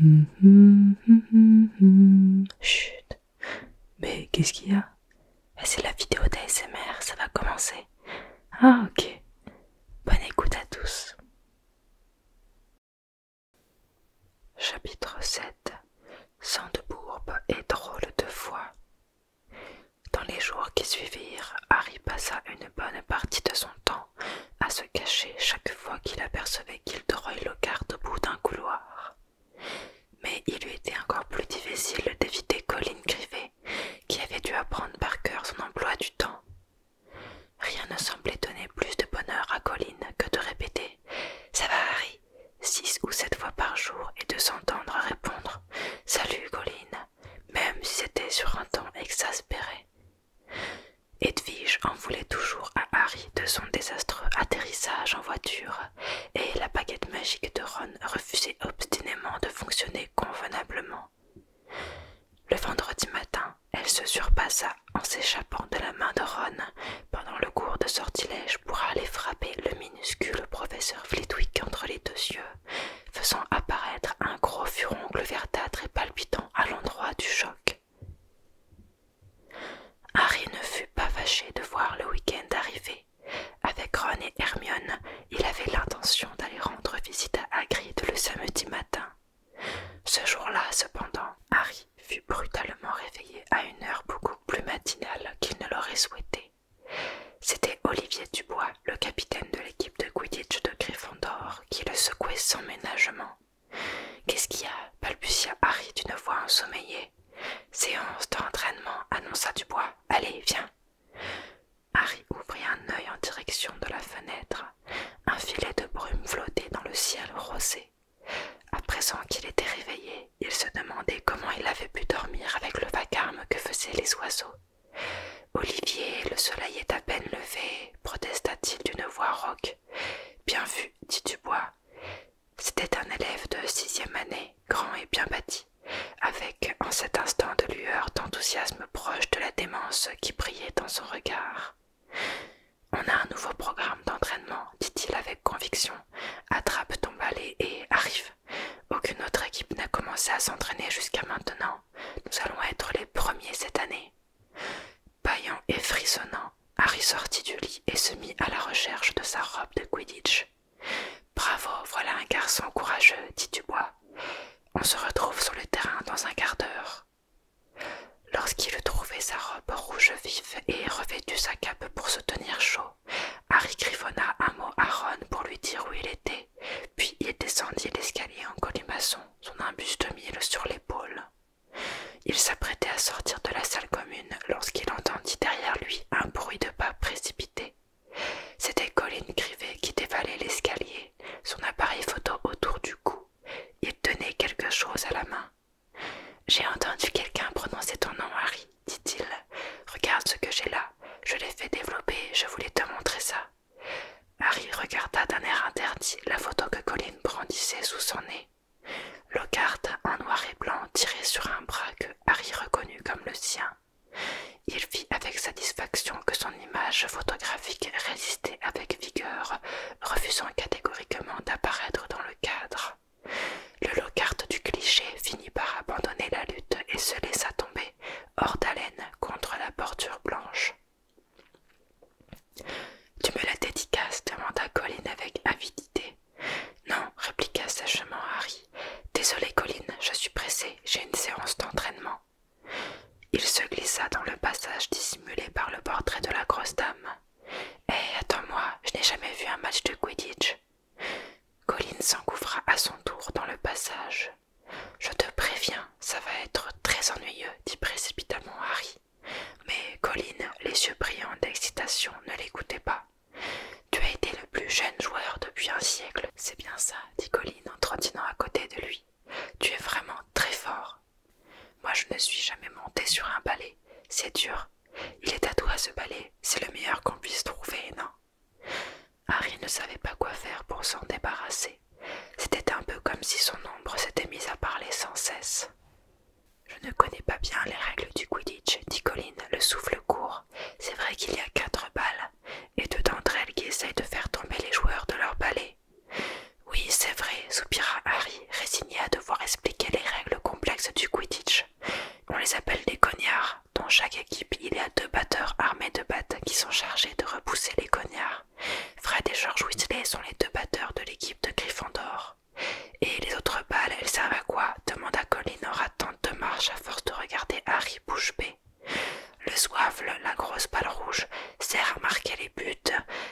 Mm-hmm, mm-hmm, mm-hmm. Chut Mais qu'est-ce qu'il y a eh, C'est la vidéo d'ASMR, ça va commencer. Ah ok. Bonne écoute à tous. Chapitre 7 Sans de bourbe et drôle de foi. Dans les jours qui suivirent, Harry passa une bonne partie de son temps à se cacher chaque fois qu'il apercevait qu'il le garde au bout d'un couloir. Mais il lui était encore plus difficile d'éviter Colline Grivet, qui avait dû apprendre par cœur son emploi du temps. Rien ne semblait donner plus de bonheur à Colline que de répéter Ça va, Harry six ou sept fois par jour et de s'entendre répondre Salut, Colline !» même si c'était sur un temps exaspéré Edwige en voulait toujours à Harry de son désastreux atterrissage en voiture, et la baguette magique de Ron refusait obstinément de fonctionner convenablement. Le vendredi matin, elle se surpassa en s'échappant de la main de Ron pendant le cours de sortilège pour aller frapper le minuscule professeur Flitwick entre les deux yeux, faisant apparaître un gros furoncle verdâtre et palpitant à l'endroit du choc. Harry ne fut pas fâché de voir le week-end arriver. Avec Ron et Hermione, il avait l'intention d'aller rendre visite à Hagrid le samedi matin. Ce jour-là, cependant, Harry fut brutalement réveillé à une heure beaucoup plus matinale qu'il ne l'aurait souhaité. C'était Olivier Dubois, le capitaine de l'équipe de Quidditch de Gryffondor, qui le secouait sans ménagement. Qu'est-ce qu'il y a balbutia Harry d'une voix ensommeillée. Séance d'entraînement, annonça Dubois. Allez, viens. Harry ouvrit un œil en direction de la fenêtre. Un filet de brume flottait dans le ciel rosé. À présent qu'il était réveillé, il se demandait comment il avait pu dormir avec le vacarme que faisaient les oiseaux. Olivier, le soleil est à peine levé, protesta-t-il d'une voix rauque. Bien vu, dit Dubois. C'était un élève de sixième année, grand et bien bâti, avec en cet instant de lueur d'enthousiasme proche de la démence qui brillait dans son regard. On a un nouveau programme d'entraînement, dit-il avec conviction. Attrape ton balai et arrive. Aucune autre équipe n'a commencé à s'entraîner jusqu'à maintenant. Nous allons être les premiers cette année. Paillant et frissonnant, Harry sortit du lit et se mit à la recherche de sa robe de Quidditch. Bravo, voilà un garçon courageux, dit Dubois. On se retrouve sur le terrain dans un quart d'heure. Lorsqu'il eut trouvé sa robe rouge vif et revêtu sa cape pour se tenir chaud, Harry griffonna un mot à Ron pour lui dire où il était, puis il descendit l'escalier en colimaçon son imbuste mille sur l'épaule. Il s'apprêtait à sortir de la salle commune lorsqu'il entendit derrière lui un bruit de pas précipité. C'était Colline Grivet qui dévalait l'escalier, son appareil photo autour du cou. Il tenait quelque chose à la main. J'ai entendu quelqu'un prononcer ton nom, Harry, dit-il. Regarde ce que j'ai là. Je l'ai fait développer, je voulais te montrer ça. Harry regarda d'un air interdit la photo que Colin brandissait sous son nez. Lockhart, en noir et blanc, tiré sur un bras que Harry reconnut comme le sien. Il vit avec satisfaction que son image photographique résistait avec vigueur, refusant catégoriquement d'apparaître dans le cadre. Le locarte du cliché finit par abandonner la lutte et se laissa tomber, hors d'haleine, contre la bordure blanche. Tu me la dédicaces demanda Colline avec avidité. Non, répliqua sèchement Harry. Désolé, Colline, je suis pressé, j'ai une séance d'entraînement. Il se glissa dans le passage dissimulé par le portrait de la grosse dame. Hé, eh, attends-moi, je n'ai jamais vu un match de Quidditch. Colline s'engouffra à son tour dans le passage. Je te préviens, ça va être très ennuyeux, dit précipitamment Harry. Mais Colin, les yeux brillants d'excitation, ne l'écoutait pas. Tu as été le plus jeune joueur depuis un siècle. C'est bien ça, dit Colin en trottinant à côté de lui. Tu es vraiment très fort. Moi, je ne suis jamais monté sur un balai. C'est dur. Il est à toi ce balai. C'est le meilleur qu'on puisse trouver, non Harry ne savait pas quoi faire pour s'en débarrasser. C'était un peu comme si son ombre s'était mise à parler sans cesse. Je ne connais pas bien les règles du Quidditch, dit Colin, le souffle court. C'est vrai qu'il y a quatre balles, et deux d'entre elles qui essayent de faire tomber les joueurs de leur balai. Oui, c'est vrai, soupira Harry, résigné à devoir expliquer les règles complexes du Quidditch. On les appelle des cognards. Dans chaque équipe, il y a deux batteurs armés de battes qui sont chargés de repousser les cognards. Fred et George Weasley sont les deux batteurs de l'équipe de Gryffondor. Et les autres balles, elles servent à quoi demanda Colin en ratant de marche à force de regarder Harry bouche B. Le soifle, la grosse balle rouge, sert à marquer les buts.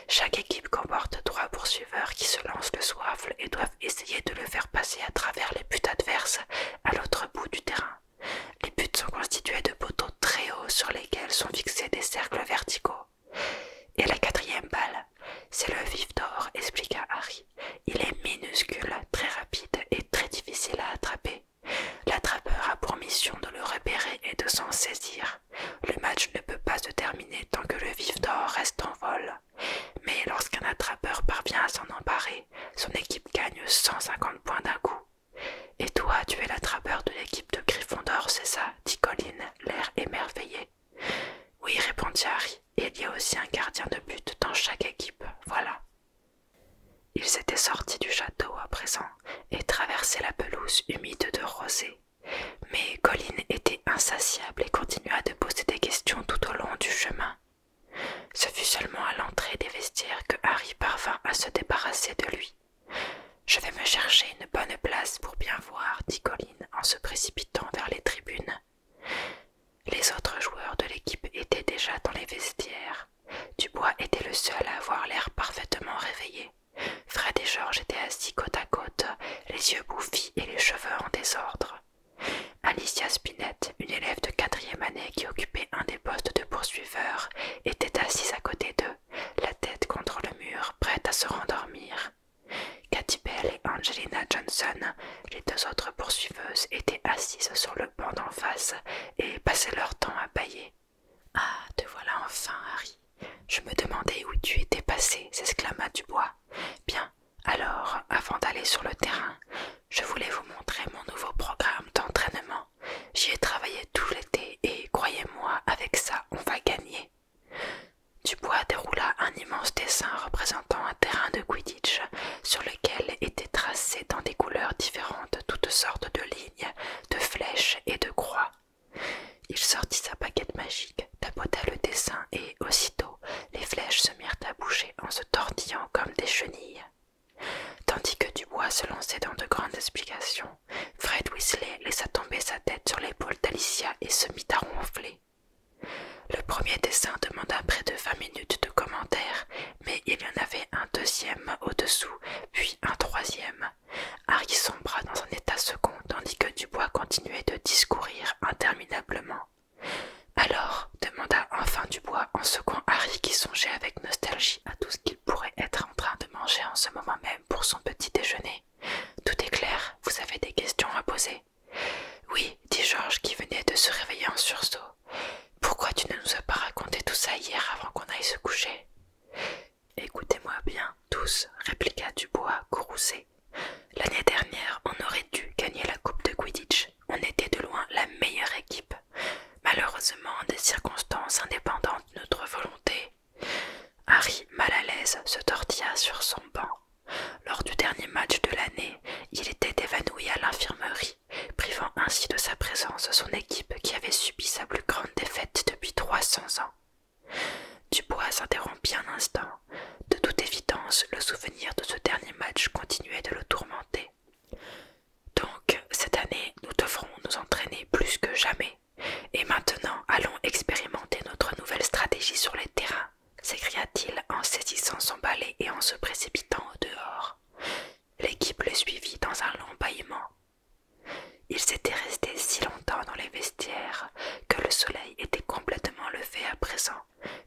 Chaque équipe comporte trois poursuiveurs qui se lancent le soifle et doivent essayer de le faire passer à travers les buts adverses à l'autre bout du terrain. Les buts sont constitués de poteaux très hauts sur lesquels sont fixés des cercles verticaux. Et la quatrième balle, c'est le vif d'or, expliqua Harry. Il est minuscule, très rapide et très difficile à attraper. L'attrapeur a pour mission de le repérer et de s'en saisir. Le match ne peut pas se terminer tant que le vif d'or reste en vol. Mais lorsqu'un attrapeur parvient à s'en emparer, son équipe gagne 150 points d'un coup. Et toi, tu es l'attrapeur de l'équipe de Gryffondor, c'est ça dit Colin, l'air émerveillé. Oui, répondit Harry, et il y a aussi un gardien de but dans chaque équipe, voilà. Ils étaient sortis du château à présent et traversaient la pelouse humide de rosée. Mais Colin était insatiable et continua de poser des questions tout au long du chemin. Ce fut seulement à l'entrée des vestiaires que Harry parvint à se débarrasser de lui. Je vais me chercher une bonne place pour bien voir, dit Colline en se précipitant vers les tribunes. Les autres joueurs de l'équipe étaient déjà dans les vestiaires. Dubois était le seul à avoir l'air parfaitement réveillé. Fred et Georges étaient assis côte à côte, les yeux bouffis et les cheveux en désordre. Alicia Spinette, une élève de quatrième année qui occupait un des postes de poursuiveur, était assise à côté d'eux la tête contre le mur, prête à se rendormir. Cathy Bell et Angelina Johnson, les deux autres poursuiveuses, étaient assises sur le banc d'en face et passaient leur temps à bâiller. Ah, te voilà enfin, Harry. Je me demandais où tu étais passé, s'exclama Dubois. Bien, alors, avant d'aller sur le terrain, je voulais vous montrer mon nouveau programme d'entraînement. J'y ai travaillé tout l'été et croyez-moi, avec ça, on va gagner. Dubois déroula un immense dessin représentant un terrain de Quidditch sur lequel étaient tracées dans des couleurs différentes toutes sortes de lignes, de flèches et de croix. Il sortit sa paquette magique, tapota le dessin et aussitôt les flèches se mirent à bouger en se tortillant comme des chenilles. Tandis que Dubois se lançait dans de grandes explications, Fred Weasley laissa tomber sa tête sur l'épaule d'Alicia et se mit à ronfler. Le premier dessin demanda près de vingt minutes de commentaires, mais il y en avait un deuxième au-dessous, puis un troisième. Harry sombra dans un état second, tandis que Dubois continuait de discourir interminablement. Alors, demanda enfin Dubois en secouant Harry qui songeait avec nostalgie à tout ce qu'il pourrait être en train de manger en ce moment même pour son petit déjeuner. Tout est clair, vous avez des questions à poser. Oui, dit Georges qui venait de se réveiller en sursaut. Pourquoi tu ne nous as pas raconté tout ça hier avant qu'on aille se coucher Écoutez-moi bien, tous, répliqua Dubois, courroucé. L'année dernière, on aurait dû gagner la Coupe de Quidditch. On était de loin la meilleure équipe malheureusement des circonstances indépendantes de notre volonté. Harry, mal à l'aise, se tortilla sur son banc. Lors du dernier match de l'année, il était évanoui à l'infirmerie, privant ainsi de sa présence son équipe qui avait subi sa plus grande défaite depuis trois cents ans. Dubois s'interrompit un instant. De toute évidence, le souvenir de ce dernier match continuait de le tourmenter. Donc, cette année, nous devrons nous entraîner plus que jamais. Et maintenant, allons expérimenter notre nouvelle stratégie sur les terrains, s'écria-t-il en saisissant son balai et en se précipitant au dehors. L'équipe le suivit dans un long bâillement. Ils étaient restés si longtemps dans les vestiaires que le soleil était complètement levé à présent,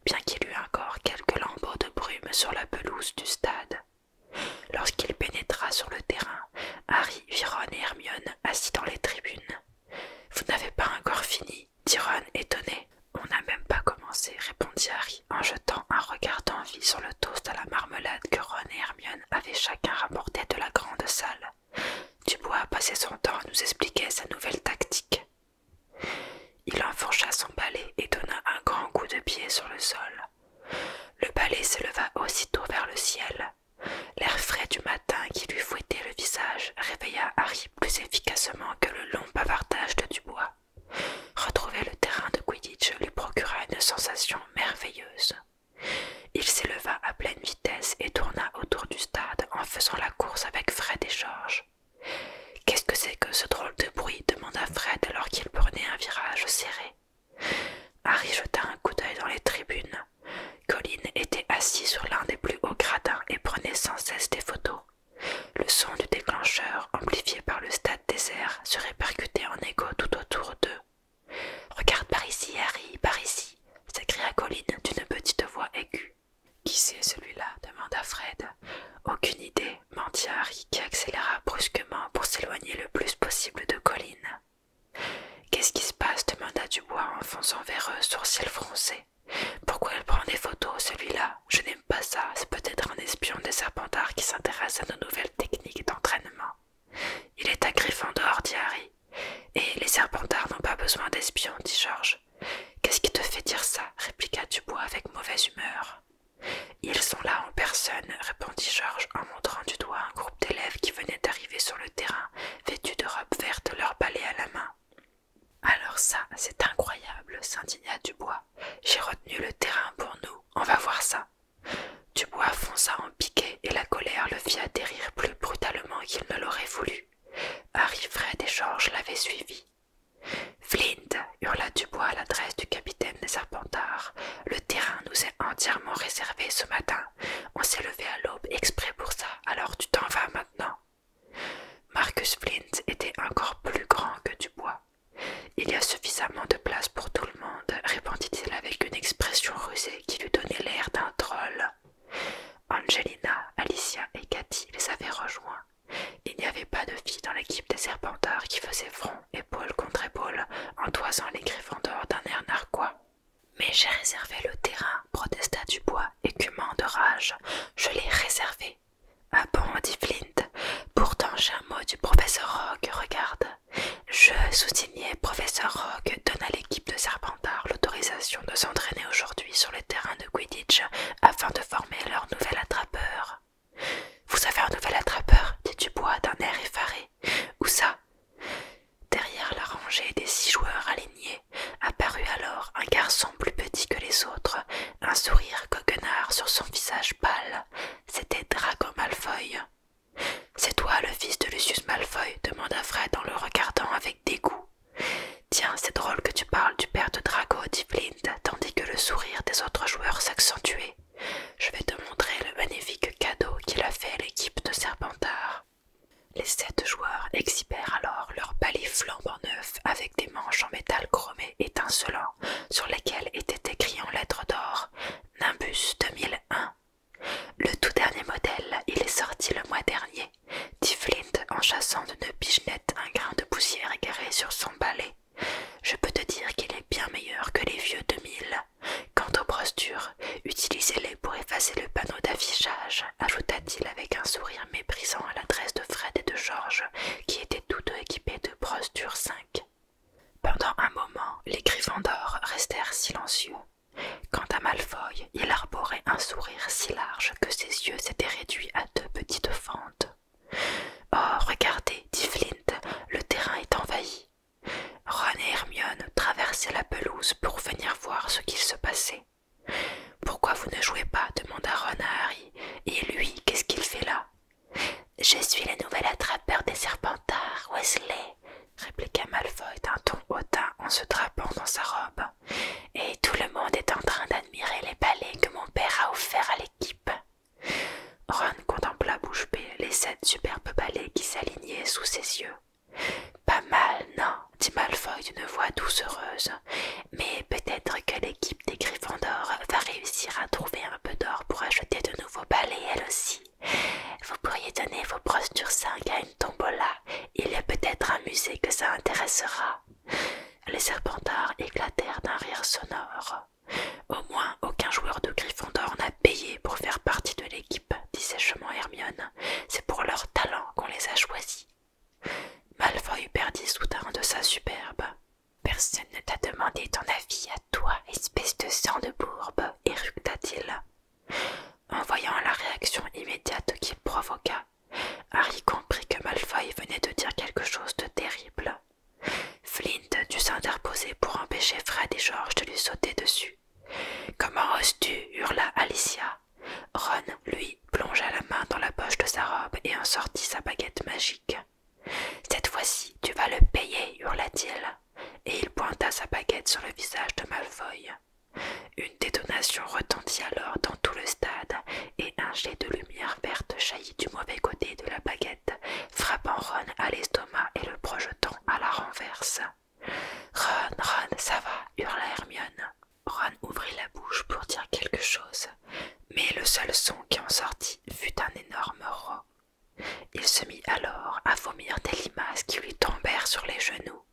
bien qu'il eût encore quelques lambeaux de brume sur la pelouse du stade. Lorsqu'il pénétra sur le terrain, Harry vit Ron et Hermione assis dans les tribunes. Vous n'avez pas encore fini, dit Ron étonné. On n'a même pas commencé, répondit Harry en jetant un regard d'envie sur le toast à la marmelade que Ron et Hermione avaient chacun rapporté de la grande salle. Dubois passé son temps à nous expliquer sa nouvelle tactique. Il enfourcha son balai et donna un grand coup de pied sur le sol. Le palais s'éleva aussitôt vers le ciel. L'air frais du matin qui lui fouettait le visage réveilla Harry plus efficacement que le long bavardage de Dubois. Retrouver le terrain de Quidditch lui procura une sensation merveilleuse. Il s'éleva à pleine vitesse et tourna autour du stade en faisant la course avec Fred et Georges. Qu'est-ce que c'est que ce drôle de bruit demanda Fred alors qu'il prenait un virage serré. Harry jeta un coup d'œil dans les tribunes. Colin était assis sur l'un des plus hauts gradins et prenait sans cesse des photos. Le son du déclencheur, amplifié par le stade désert, se répercutait en écho tout autour d'eux. Regarde par ici, Harry, par ici, s'écria Colline d'une petite voix aiguë. Qui c'est celui-là demanda Fred. Aucune idée, mentit Harry qui accéléra brusquement pour s'éloigner le plus possible de Colin. Qu'est-ce qui se passe demanda Dubois en fonçant vers eux, sourcils froncés. Pourquoi elle prend des photos, celui-là Je n'aime pas ça, c'est peut-être un espion des serpentards qui s'intéresse à nos nouvelles techniques d'entraînement. Il est à dehors, dit Harry. Et les serpentards n'ont pas besoin d'espions, dit Georges. Qu'est-ce qui te fait dire ça répliqua Dubois avec mauvaise humeur. Ils sont là en personne, répondit Georges en montrant du doigt un groupe d'élèves qui venaient d'arriver sur le terrain, vêtus de robes vertes, leur balais à la main. Alors ça, c'est incroyable, s'indigna Dubois. J'ai retenu le terrain pour nous, on va voir ça. Dubois fonça en piquet et la colère le fit atterrir plus brutalement qu'il ne l'aurait voulu. Harry, Fred et Georges l'avaient suivi. Flint, hurla Dubois à l'adresse du capitaine des Serpentards, le terrain nous entièrement réservé ce matin. On s'est levé à l'aube exprès pour ça, alors tu t'en vas maintenant. Marcus Flint était encore plus grand que Dubois. Il y a suffisamment de place pour tout le monde, répondit-il avec une expression rusée qui lui donnait l'air d'un troll. Angelina, Alicia et Cathy les avaient rejoints. Il n'y avait pas de filles dans l'équipe des Serpentards qui faisait front épaule contre épaule, en toisant les griffons-d'or d'un air narquois. Mais j'ai réservé le terrain, protesta Dubois, écumant de rage. Je l'ai réservé. Ah bon, dit Flint. Pourtant j'ai un mot du professeur Rogue, regarde. Je soutenais. professeur Rogue donne à l'équipe de Serpentard l'autorisation de s'entraîner aujourd'hui sur le terrain de Quidditch afin de former leur nouvel attrapeur. Vous avez un nouvel attrapeur, dit Dubois d'un air effaré. Où ça Derrière la rangée des six joueurs alignés, apparut alors un garçon plus petit que les autres, un sourire coquenard sur son visage pâle. C'était Drago Malfoy. C'est toi le fils de Lucius Malfoy demanda Fred en le regardant avec dégoût. Tiens, c'est drôle que tu parles du père de Drago, dit Blind, tandis que le sourire des autres joueurs s'accentuait. Je vais te montrer le magnifique cadeau qu'il a fait à l'équipe de Serpentard. Les sept joueurs exhibèrent alors leur palis flambant neuf, avec des manches en métal chromé étincelant sur lesquelles était écrit en lettres d'or Nimbus 2001. Le tout dernier modèle, il est sorti le mois dernier, dit Flint en chassant d'une pignette un grain de poussière égaré sur son balai. Je peux te dire qu'il est bien meilleur que les vieux 2000. Quant aux brossures, utilisez-les pour effacer le panneau d'affichage, ajouta-t-il avec un sourire méprisant à l'adresse de Fred et de George qui étaient tous deux équipés de brossures 5. Pendant un moment, les griffons d'or restèrent silencieux. Quant à Malfoy, il arborait un sourire si large que ses yeux s'étaient réduits à deux petites fentes. Oh, regardez, dit Flint, le terrain est envahi. Ron et Hermione traversaient la pelouse pour venir voir ce qu'il se passait. Pourquoi vous ne jouez pas demanda Ron à Harry. Et lui, qu'est-ce qu'il fait là Je suis le nouvel attrapeur des serpentards, Wesley, répliqua Malfoy d'un ton hautain en se drapant dans sa robe. Et tout le monde est en train d'admirer les balais que mon père a offerts à l'équipe. Ron contempla bouche bée les sept superbes balais qui s'alignaient sous ses yeux. Pas mal, non, dit Malfoy d'une voix doucereuse, mais peut-être que l'équipe des Gryffondors va réussir à trouver un peu d'or pour acheter de nouveaux balais elle aussi. Vous pourriez donner vos postures dursingues à une tombola, il y peut-être un musée que ça intéressera. Les serpentards éclatèrent d'un rire sonore. Au moins aucun joueur de Gryffondor n'a payé pour faire partie de l'équipe, dit sèchement Hermione. C'est pour leur talent qu'on les a choisis. Malfoy perdit soudain de sa superbe. Personne ne t'a demandé ton avis à toi, espèce de sang de bourbe, éructa-t-il. En voyant la réaction immédiate qu'il provoqua, Harry comprit que Malfoy venait de dire quelque chose de terrible. Flint dut s'interposer pour empêcher Fred et George de lui sauter dessus. Comment oses-tu hurla Alicia. Ron, lui, plongea la main dans la poche de sa robe et en sortit sa baguette magique. Cette fois-ci, tu vas le payer, hurla-t-il, et il pointa sa baguette sur le visage de Malfoy. Une détonation retentit alors dans tout le stade et un jet de lumière verte du mauvais côté de la baguette, frappant Ron à l'estomac et le projetant à la renverse. Ron, Ron, ça va, hurla Hermione. Ron ouvrit la bouche pour dire quelque chose, mais le seul son qui en sortit fut un énorme roc Il se mit alors à vomir des limaces qui lui tombèrent sur les genoux.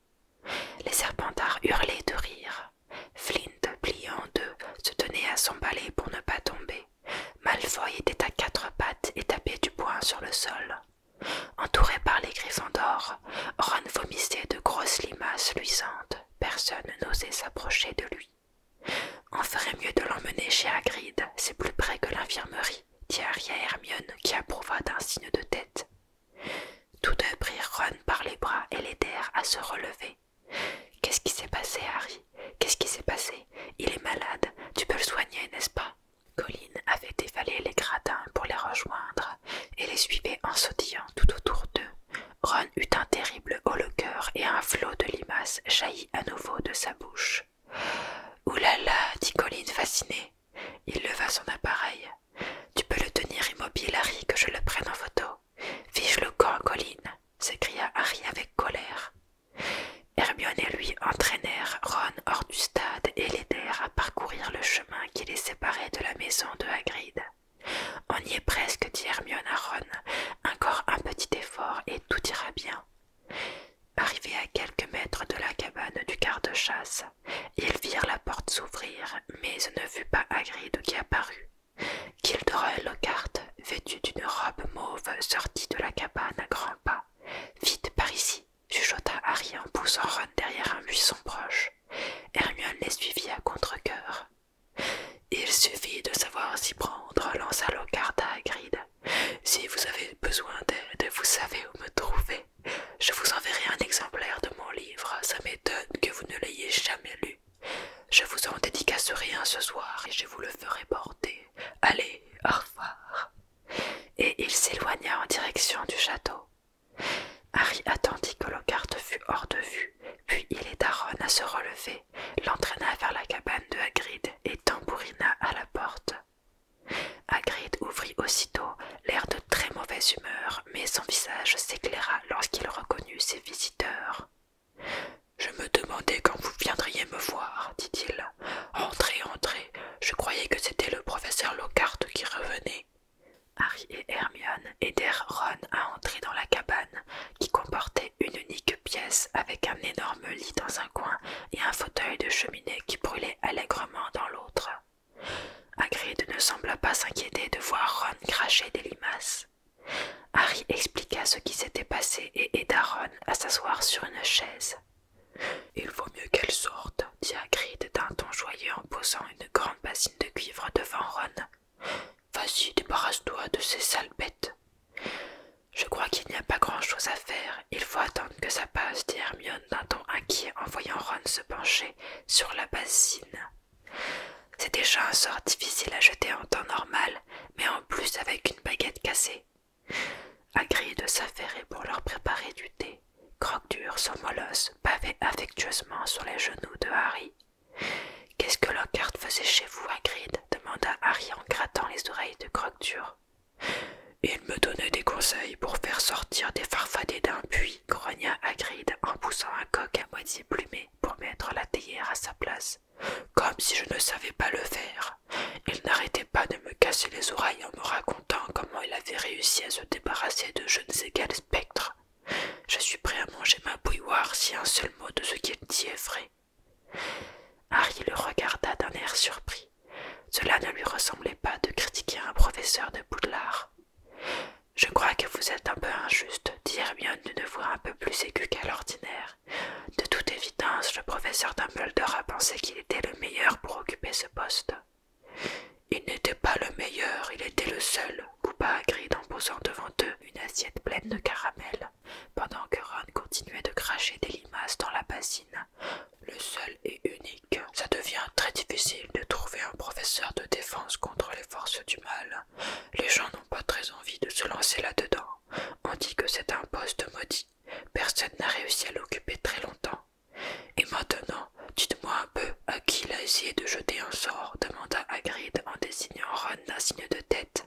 Les serpentards hurlaient de rire. Flint, plié en deux, se tenait à son balai pour ne pas tomber. Malfoy était à quatre pattes et tapait du poing sur le sol. Entouré par les griffons d'or, Ron vomissait de grosses limaces luisantes. Personne n'osait s'approcher de lui. On ferait mieux de l'emmener chez Hagrid, c'est plus près que l'infirmerie, dit Harry Hermione, qui approuva d'un signe de tête. Tous deux prirent Ron par les bras et l'aidèrent à se relever. Qu'est-ce qui s'est passé, Harry Qu'est-ce qui s'est passé Il est malade, tu peux le soigner, n'est-ce pas Colline avait dévalé les gradins pour les rejoindre et les suivait en sautillant tout autour d'eux. Ron eut un terrible haut le cœur et un flot de limaces jaillit à nouveau de sa bouche. Ouh là là, dit Colline fasciné. Il leva son appareil. Tu peux le tenir immobile, Harry, que je le prenne en photo. Fiche le camp, Colline s'écria Harry avec colère. Hermione et lui entraînèrent Ron hors du stade et l'aidèrent à parcourir le chemin qui les séparait de la maison de Hagrid. On y est presque, dit Hermione à Ron. Encore un petit effort et tout ira bien. Arrivés à quelques mètres de la cabane du garde-chasse, ils virent la porte s'ouvrir, mais ce ne fut pas Hagrid qui apparut. Vêtue d'une robe mauve, sortit de la cabane à grands pas. Vite par ici, chuchota Harry en poussant Ron derrière un buisson proche. Hermione les suivit à contre-coeur. Il suffit de savoir s'y prendre, lança Lockhart à Grid. Si vous avez besoin d'aide, vous savez où me trouver. Je vous enverrai un exemplaire de mon livre, ça m'étonne que vous ne l'ayez jamais lu. Je vous en dédicacerai un ce soir et je vous le ferai porter. Allez, au revoir. Et il s'éloigna en direction du château. Harry attendit que Lockhart fût hors de vue, puis il aida Ron à se relever, l'entraîna vers la cabane de Hagrid et tambourina à la porte. Hagrid ouvrit aussitôt, l'air de très mauvaise humeur, mais son visage s'éclaira lorsqu'il reconnut ses visiteurs. Je me demandais quand vous viendriez me voir, dit-il. Entrez, entrez. Je croyais que c'était le professeur Lockhart qui revenait. Harry et Hermione aidèrent Ron à entrer dans la cabane, qui comportait une unique pièce avec un énorme lit dans un coin et un fauteuil de cheminée qui brûlait allègrement dans l'autre. Hagrid ne sembla pas s'inquiéter de voir Ron cracher des limaces. Harry expliqua ce qui s'était passé et aida Ron à s'asseoir sur une chaise. Il vaut mieux qu'elle sorte, dit Hagrid d'un ton joyeux en posant une grande bassine de cuivre devant Ron. Vas-y, débarrasse-toi de ces sales bêtes. Je crois qu'il n'y a pas grand-chose à faire. Il faut attendre que ça passe, dit Hermione d'un ton inquiet en voyant Ron se pencher sur la bassine. C'est déjà un sort difficile à jeter en temps normal, mais en plus avec une baguette cassée. Hagrid de pour leur préparer du thé, croque son son molosse, pavait affectueusement sur les genoux de Harry. Qu'est-ce que Lockhart faisait chez vous, Hagrid demanda Harry en grattant les oreilles de croque Il me donnait des conseils pour faire sortir des farfadets d'un puits, grogna Hagrid en poussant un coq à moitié plumé pour mettre la théière à sa place. Comme si je ne savais pas le faire. Il n'arrêtait pas de me casser les oreilles en me racontant comment il avait réussi à se débarrasser de je ne sais quel spectre. Je suis prêt à manger ma bouilloire si un seul mot de ce qu'il dit est vrai. Harry le regarda d'un air surpris. Cela ne lui ressemblait pas de critiquer un professeur de boudelard. Je crois que vous êtes un peu injuste, dit Hermione d'une voix un peu plus aiguë qu'à l'ordinaire. De toute évidence, le professeur Dumbledore a pensé qu'il était le meilleur pour occuper ce poste. Il n'était pas le meilleur, il était le seul, a grid en posant devant eux une assiette pleine de caramel, pendant que Ron continuait de cracher des limaces dans la bassine. Le seul et unique. Ça devient très difficile de trouver un professeur de défense contre les forces du mal. Les gens n'ont pas très envie de se lancer là-dedans. On dit que c'est un poste maudit. Personne n'a réussi à l'occuper très longtemps. Et maintenant, dites-moi un peu à qui il a essayé de jeter un sort, demanda Hagrid en désignant Ron d'un signe de tête.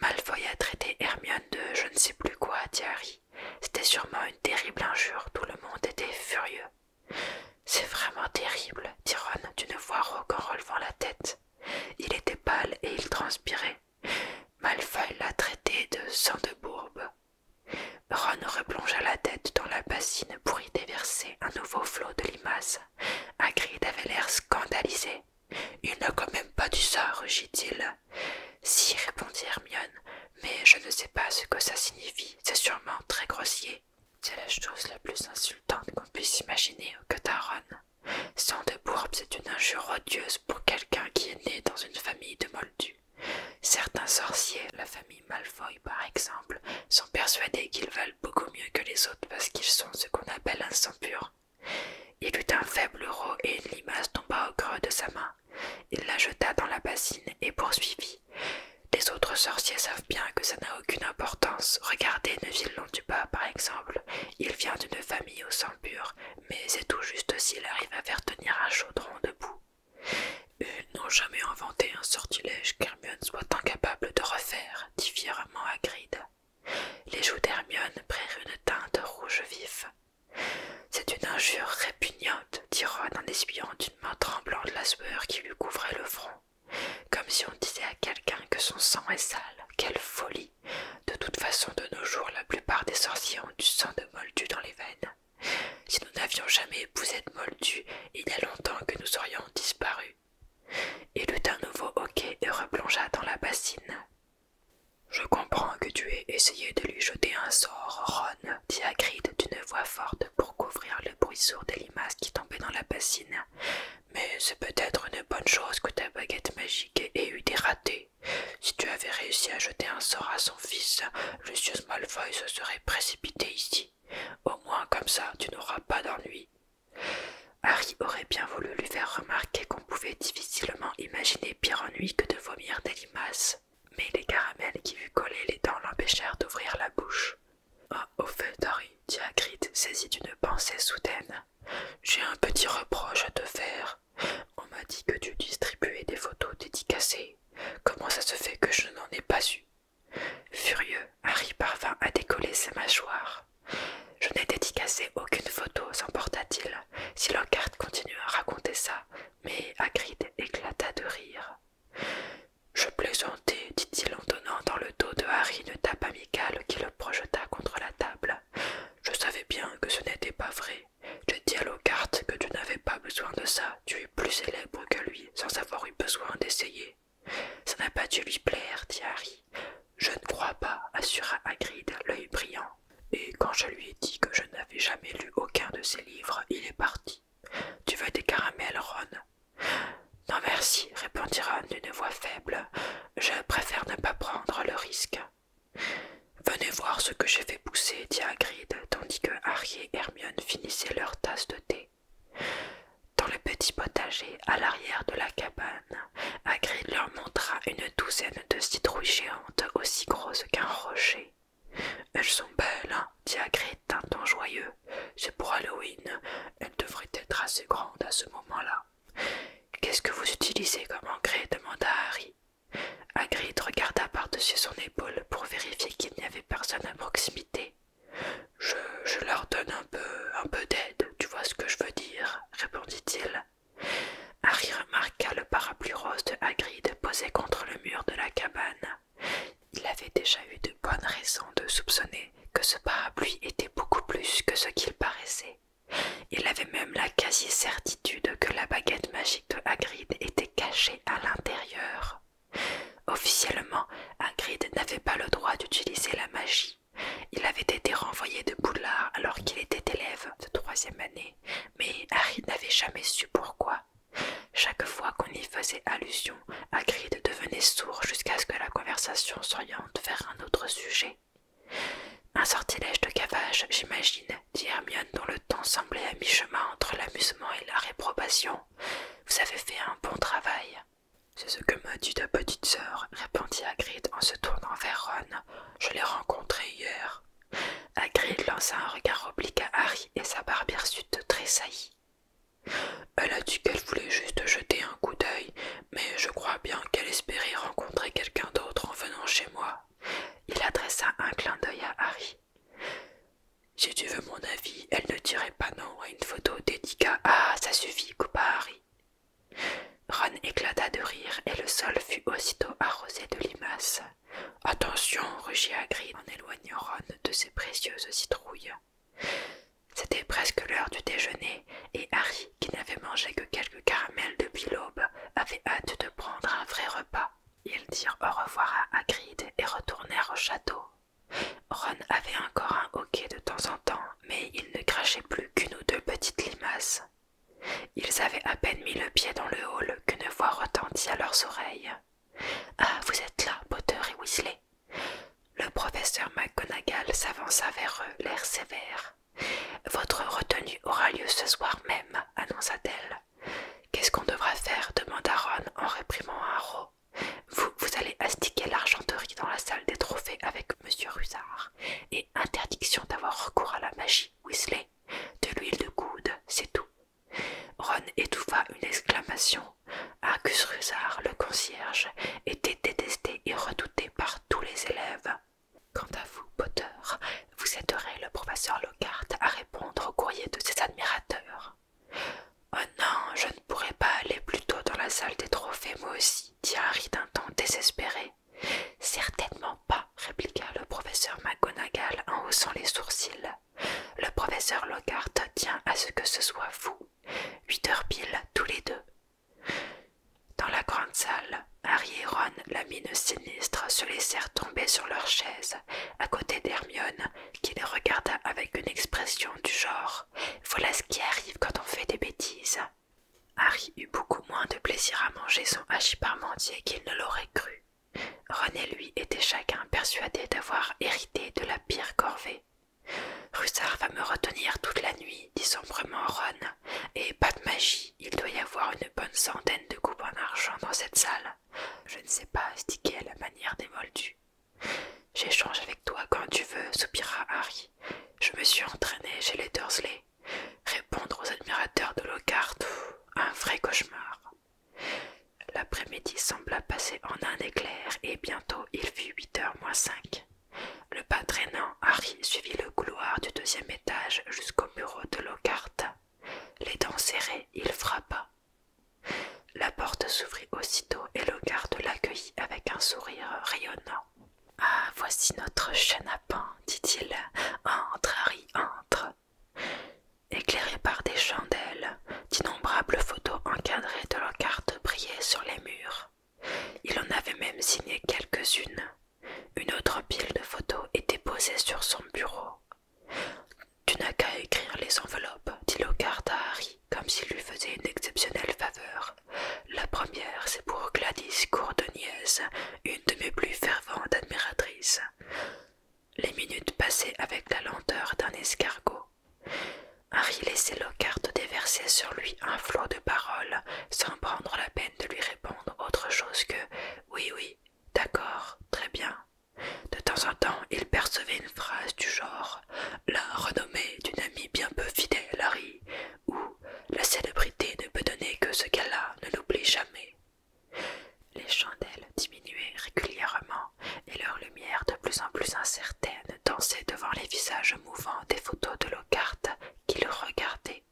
Malfoy a traité Hermione de je ne sais plus quoi, dit Harry. C'était sûrement une terrible injure, tout le monde était furieux. C'est vraiment terrible, dit Ron d'une voix rauque en relevant la tête. Il était pâle et il transpirait. Malfoy l'a traité de sang de bourbe. Ron replongea la tête dans la bassine pour y déverser un nouveau flot de limaces. Hagrid avait l'air scandalisé. Il n'a quand même pas du sort, rugit-il. Si, répondit Hermione, mais je ne sais pas ce que ça signifie. C'est sûrement très grossier. C'est la chose la plus insultante qu'on puisse imaginer, que Ron. Sang de bourbe, c'est une injure odieuse pour quelqu'un qui est né dans une famille de moldus. Certains sorciers, la famille Malfoy par exemple, sont persuadés qu'ils valent beaucoup mieux que les autres parce qu'ils sont ce qu'on appelle un sang pur. Il eut un faible euro et une limace tomba au creux de sa main. Il la jeta dans la bassine et poursuivit. Les autres sorciers savent bien que ça n'a aucune importance. Regardez Neville Londuba, par exemple. Il vient d'une famille au sang pur, mais c'est tout juste s'il arrive à faire tenir un chaudron debout. Ils n'ont jamais inventé un sortilège qu'Hermione soit incapable de refaire, dit fièrement Hagrid. Les joues d'Hermione prirent une teinte rouge vif. C'est une injure répugnante, dit Ron en essuyant d'une main tremblante la sueur qui lui couvrait le front. Comme si on disait à quelqu'un que son sang est sale. Quelle folie de toute façon, de nos jours, la plupart des sorciers ont du sang de Moldu dans les veines. Si nous n'avions jamais épousé de Moldu, il y a longtemps que nous aurions disparu. Il eut un nouveau hoquet et replongea dans la bassine. Je comprends que tu aies essayé de lui jeter un sort, Ron, dit Hagrid d'une voix forte pour couvrir le bruit sourd des limaces qui tombaient dans la bassine. Mais c'est peut-être une bonne chose que ta baguette magique ait eu des ratés. Si tu avais réussi à jeter un sort à son fils, Lucius Malfoy se serait précipité ici. Au moins comme ça tu n'auras pas d'ennui. Harry aurait bien voulu lui faire remarquer qu'on pouvait difficilement imaginer pire ennui que de vomir des limaces, mais les caramels qui lui collaient les dents l'empêchèrent d'ouvrir la bouche. Ah, au fait, Harry, dit saisit saisi d'une pensée soudaine. J'ai un petit reproche à te faire. On m'a dit que tu distribuais des photos dédicacées. Comment ça se fait que je n'en ai pas eu Furieux, Harry parvint à décoller ses mâchoires. Je n'ai dédicacé aucune photo, s'emporta-t-il, si continua continue à raconter ça, mais Hagrid éclata de rire. Je plaisantais, dit-il en donnant dans le dos de Harry une tape amicale qui le projeta contre la table. Je savais bien que ce n'était pas vrai. J'ai dit à Lockhart que tu n'avais pas besoin de ça. Tu es plus célèbre que lui, sans avoir eu besoin d'essayer. Ça n'a pas dû lui plaire, dit Harry. Je ne crois pas, assura Hagrid, l'œil brillant. Et quand je lui ai dit que je n'avais jamais lu aucun de ses livres, il est parti. Tu veux des caramels, Ron Non, merci, répondit Ron d'une voix faible. Je préfère ne pas prendre le risque. Venez voir ce que j'ai fait pousser, dit Hagrid, tandis que Harry et Hermione finissaient leur tasse de thé. Dans le petit potager, à l'arrière de la cabane, Hagrid leur montra une douzaine de citrouilles géantes aussi grosses qu'un rocher. Elles sont belles, hein, dit Hagrid d'un ton joyeux. C'est pour Halloween. Elles devraient être assez grandes à ce moment-là. Qu'est-ce que vous utilisez comme engrais demanda Harry. Hagrid regarda par-dessus son épaule pour vérifier qu'il n'y avait personne à proximité. Je, leur donne un peu, un peu d'aide, tu vois ce que je veux dire, répondit-il. Harry remarqua le parapluie rose de Hagrid posé contre le mur de la cabane. Il avait déjà eu de bonnes raisons de soupçonner que ce parapluie était beaucoup plus que ce qu'il paraissait. Il avait même la quasi-certitude que la baguette magique de Hagrid était cachée à l'intérieur. Officiellement, Hagrid n'avait pas le droit d'utiliser la magie. Il avait été renvoyé de Boulard alors qu'il était élève de troisième année, mais Harry n'avait jamais su pourquoi. Chaque fois qu'on y faisait allusion, Hagrid devenait sourd jusqu'à ce que la conversation s'oriente vers un autre sujet. Un sortilège de cavage, j'imagine, dit Hermione, dont le temps semblait à mi-chemin entre l'amusement et la réprobation. Vous avez fait un bon travail. C'est ce que m'a dit ta petite sœur, répondit Hagrid en se tournant vers Ron. Je l'ai rencontrée hier. Hagrid lança un regard oblique à Harry et sa barbe hirsute tressaillit. Elle a dit qu'elle voulait juste jeter un coup d'œil, mais je crois bien qu'elle espérait rencontrer quelqu'un d'autre en venant chez moi. Il adressa un clin d'œil à Harry. Si tu veux mon avis, elle ne dirait pas non à une photo dédiée Ah, ça suffit, coupa Harry. Ron éclata de rire et le sol fut aussitôt arrosé de limaces. Attention, rugit Hagrid en éloignant Ron de ses précieuses citrouilles. C'était presque l'heure du déjeuner, et Harry, qui n'avait mangé que quelques caramels depuis l'aube, avait hâte de prendre un vrai repas. Ils dirent au revoir à Hagrid et retournèrent au château. Ron avait encore un hoquet de temps en temps, mais il ne crachait plus qu'une ou deux petites limaces. Ils avaient à peine mis le pied dans le hall qu'une voix retentit à leurs oreilles. Ah, vous êtes là, Potter et Weasley. Le professeur McGonagall s'avança vers eux, l'air sévère. Votre retenue aura lieu ce soir même, annonça-t-elle. Qu'est-ce qu'on devra faire demanda Ron en réprimant Haro. Vous, vous allez astiquer l'argenterie dans la salle des trophées avec Monsieur Rusard, et interdiction d'avoir recours à la magie, Weasley. De l'huile de goudes, c'est tout. Ron étouffa une exclamation. Argus Rusard, le concierge, était détesté et redouté tous les élèves. Quant à vous, Potter, vous aiderez le professeur Lockhart à répondre au courrier de ses admirateurs. Oh non, je ne pourrai pas aller plus tôt dans la salle des trophées, moi aussi, dit Harry d'un ton désespéré. Certainement pas, répliqua le professeur McGonagall en haussant les sourcils. Le professeur Lockhart tient à ce que ce soit vous. Huit heures pile, tous les deux. Dans la grande salle, Harry et Ron, la mine sinistre, se laissèrent tomber sur leurs chaises. à côté d'Hermione, qui les regarda avec une expression du genre Voilà ce qui arrive quand on fait des bêtises. Harry eut beaucoup moins de plaisir à manger son hachis parmentier qu'il ne l'aurait cru. Ron et lui étaient chacun persuadés d'avoir hérité de la pire corvée. Russard va me retenir toute la nuit, dit sombrement Ron, et pas de magie, il doit y avoir une bonne centaine de coupes en argent dans cette salle. Je ne sais pas astiquer la manière des moldus. J'échange avec toi quand tu veux, soupira Harry. Je me suis entraîné chez les Dursley. Répondre aux admirateurs de Lockhart, un vrai cauchemar. L'après-midi sembla passer en un éclair, et bientôt il fut huit heures moins cinq. Le pas Harry suivit le couloir du deuxième étage jusqu'au bureau de Lockhart. Les dents serrées, il frappa. La porte s'ouvrit aussitôt et Lockhart l'accueillit avec un sourire rayonnant. Ah, voici notre chenapan, dit-il. Entre, Harry, entre. Éclairé par des chandelles, d'innombrables photos encadrées de Lockhart brillaient sur les murs. Il en avait même signé quelques-unes. Une autre pile de photos était posée sur son bureau. Tu n'as qu'à écrire les enveloppes, dit Lockhart à Harry, comme s'il lui faisait une exceptionnelle faveur. La première, c'est pour Gladys Courdeniez, une de mes plus ferventes admiratrices. Les minutes passaient avec la lenteur d'un escargot. Harry laissait Lockhart déverser sur lui un flot de paroles, sans prendre la peine de lui répondre autre chose que Oui, oui, d'accord, très bien. De temps en temps, il percevait une phrase du genre La renommée d'une amie bien peu fidèle, Harry, ou La célébrité ne peut donner que ce qu'elle a, ne l'oublie jamais. Les chandelles diminuaient régulièrement et leur lumière de plus en plus incertaine dansait devant les visages mouvants des photos de Lockhart qui le regardaient.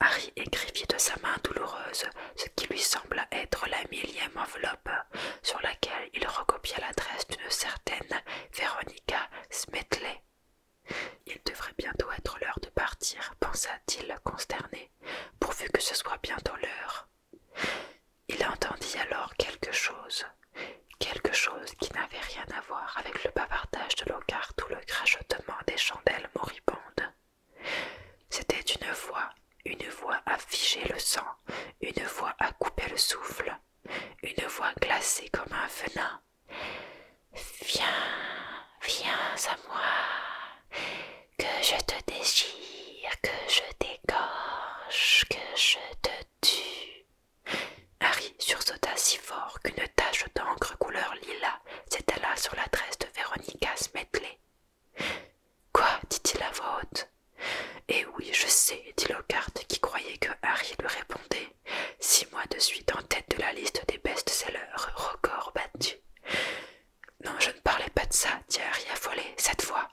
Harry écrivit de sa main douloureuse ce qui lui sembla être la millième enveloppe sur laquelle il recopia l'adresse d'une certaine Veronica Smetley. Il devrait bientôt être l'heure de partir, pensa-t-il consterné, pourvu que ce soit bientôt l'heure. Il entendit alors quelque chose, quelque chose qui n'avait rien à voir avec le bavardage de l'ocar ou le crachotement des chandelles moribondes. C'était une voix, une voix à figer le sang, une voix à couper le souffle, une voix glacée comme un venin. Viens, viens à moi, que je te déchire, que je t'égorge, que je te tue. Harry sursauta si fort qu'une tache d'encre couleur lilas s'étala sur l'adresse de Veronica Smetley. « Quoi dit-il à voix haute. Eh oui, je sais, dit Lockhart, qui croyait que Harry lui répondait. Six mois de suite en tête de la liste des best-sellers, record battu. Non, je ne parlais pas de ça, dit Harry affolé, cette fois.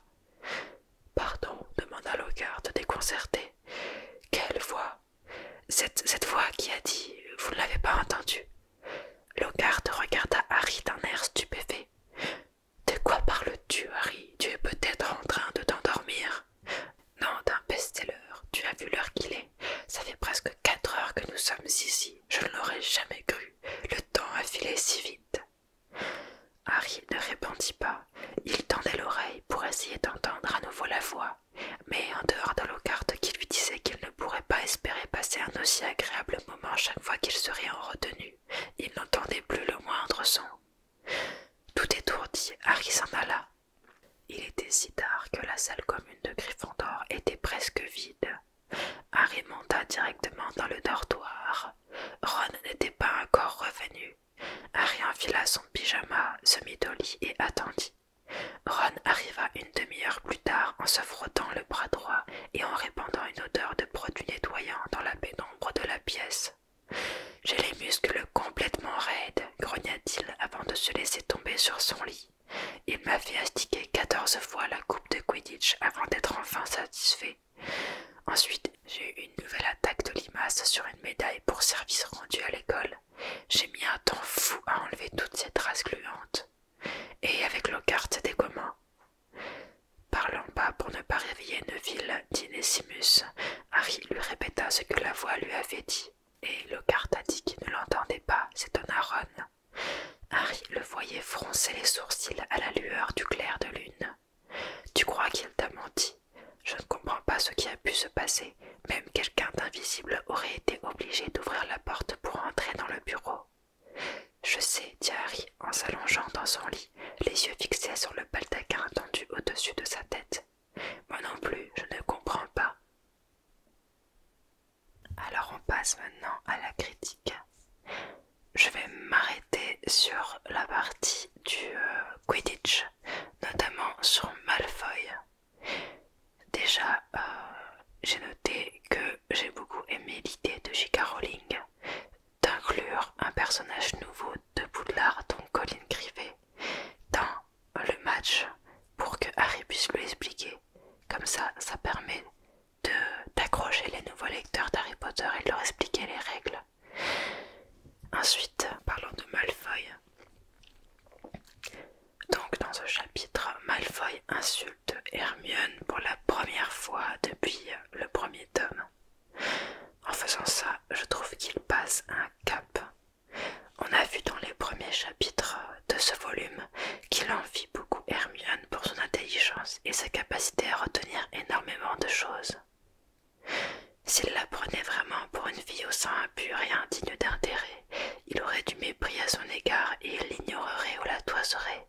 Pardon demanda Logarde déconcerté. Quelle voix cette, voix qui a dit Vous ne l'avez pas entendue Logarde regarda Harry d'un air stupéfait. De quoi parles-tu, Harry Tu es peut-être en train de t'endormir. Non, d'un best Tu as vu l'heure qu'il est. Ça fait presque quatre heures que nous sommes ici. Je ne l'aurais jamais cru. Le temps a filé si vite. Harry ne répondit pas. Il tendait l'oreille pour essayer d'entendre à nouveau la voix, mais en dehors de leau qui lui disait qu'il ne pourrait pas espérer passer un aussi agréable moment chaque fois qu'il serait en retenue, il n'entendait plus le moindre son. Tout étourdi, Harry s'en alla. Il était si tard que la salle commune de Gryffondor était presque vide. Harry monta directement dans le dortoir. Ron n'était pas encore revenu, Harry enfila son pyjama, se mit au lit et attendit. Ron arriva une demi-heure plus tard en se frottant le bras droit et en répandant une odeur de produit nettoyant dans la pénombre de la pièce. J'ai les muscles complètement raides, grogna-t-il avant de se laisser tomber sur son lit. Il m'a fait astiquer quatorze fois la coupe de Quidditch avant d'être enfin satisfait. Ensuite, j'ai eu une nouvelle attaque de limaces sur une médaille pour service rendu à l'école. J'ai mis un temps fou à enlever toutes ces traces gluantes. Et avec Lockhart, des communs. Parlant pas pour ne pas réveiller Neville, Nessimus, Harry lui répéta ce que la voix lui avait dit. Et Lockhart a dit qu'il ne l'entendait pas, C'est un Ron. Harry le voyait froncer les sourcils à la lueur du clair de lune. Tu crois qu'il t'a menti Je ne comprends pas ce qui a pu se passer. Même quelqu'un d'invisible aurait été obligé d'ouvrir la porte pour entrer dans le bureau. Je sais, dit Harry en s'allongeant dans son lit, les yeux fixés sur le baldaquin tendu au-dessus de sa tête. Moi non plus, je ne comprends pas. Alors on passe maintenant à la critique. Je vais m'arrêter sur la partie du euh, Quidditch notamment sur Malfoy. Déjà, euh, j'ai noté que j'ai beaucoup aimé l'idée de J.K. Rowling d'inclure un personnage nouveau de Boudlard, donc Colin Crivet, dans le match pour que Harry puisse lui expliquer. Comme ça, ça permet d'accrocher les nouveaux lecteurs d'Harry Potter et de leur expliquer les règles. Ensuite, parlons de Malfoy. Donc dans ce chapitre, Malfoy insulte Hermione pour la première fois depuis le premier tome. En faisant ça, je trouve qu'il passe un cap. On a vu dans les premiers chapitres de ce volume qu'il envie beaucoup Hermione pour son intelligence et sa capacité à retenir énormément de choses. S'il la prenait vraiment pour une fille au sein impur et indigne d'intérêt, il aurait du mépris à son égard et il l'ignorerait ou la toiserait.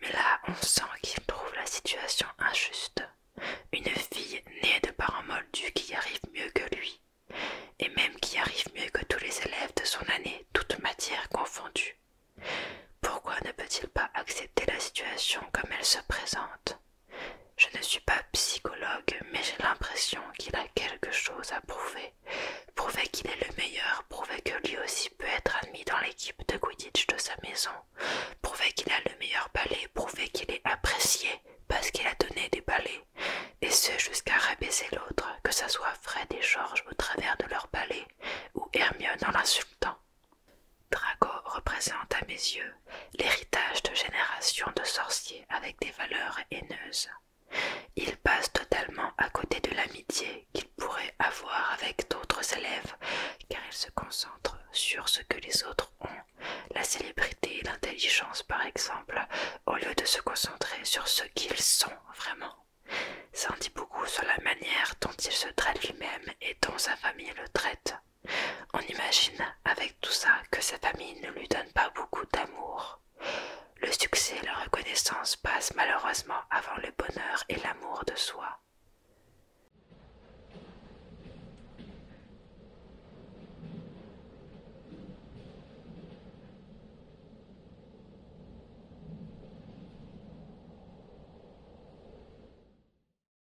Mais là, on sent qu'il trouve la situation injuste. Une fille née de parents moldus qui arrive mieux que lui, et même qui arrive mieux que tous les élèves de son année, toutes matières confondues. Pourquoi ne peut-il pas accepter la situation comme elle se présente je ne suis pas psychologue, mais j'ai l'impression qu'il a quelque chose à prouver. Prouver qu'il est le meilleur, prouver que lui aussi peut être admis dans l'équipe de Quidditch de sa maison, prouver qu'il a le meilleur ballet, prouver qu'il est apprécié parce qu'il a donné des ballets, et ce jusqu'à rabaisser l'autre, que ça soit Fred et George au travers de leur ballet, ou Hermione en l'insultant. Draco représente à mes yeux l'héritage de générations de sorciers avec des valeurs haineuses. Il passe totalement à côté de l'amitié qu'il pourrait avoir avec d'autres élèves car il se concentre sur ce que les autres ont, la célébrité et l'intelligence par exemple, au lieu de se concentrer sur ce qu'ils sont vraiment. Ça en dit beaucoup sur la manière dont il se traite lui-même et dont sa famille le traite. On imagine avec tout ça que sa famille ne lui donne pas beaucoup d'amour. Le succès et la reconnaissance passent malheureusement avant le bonheur et l'amour de soi.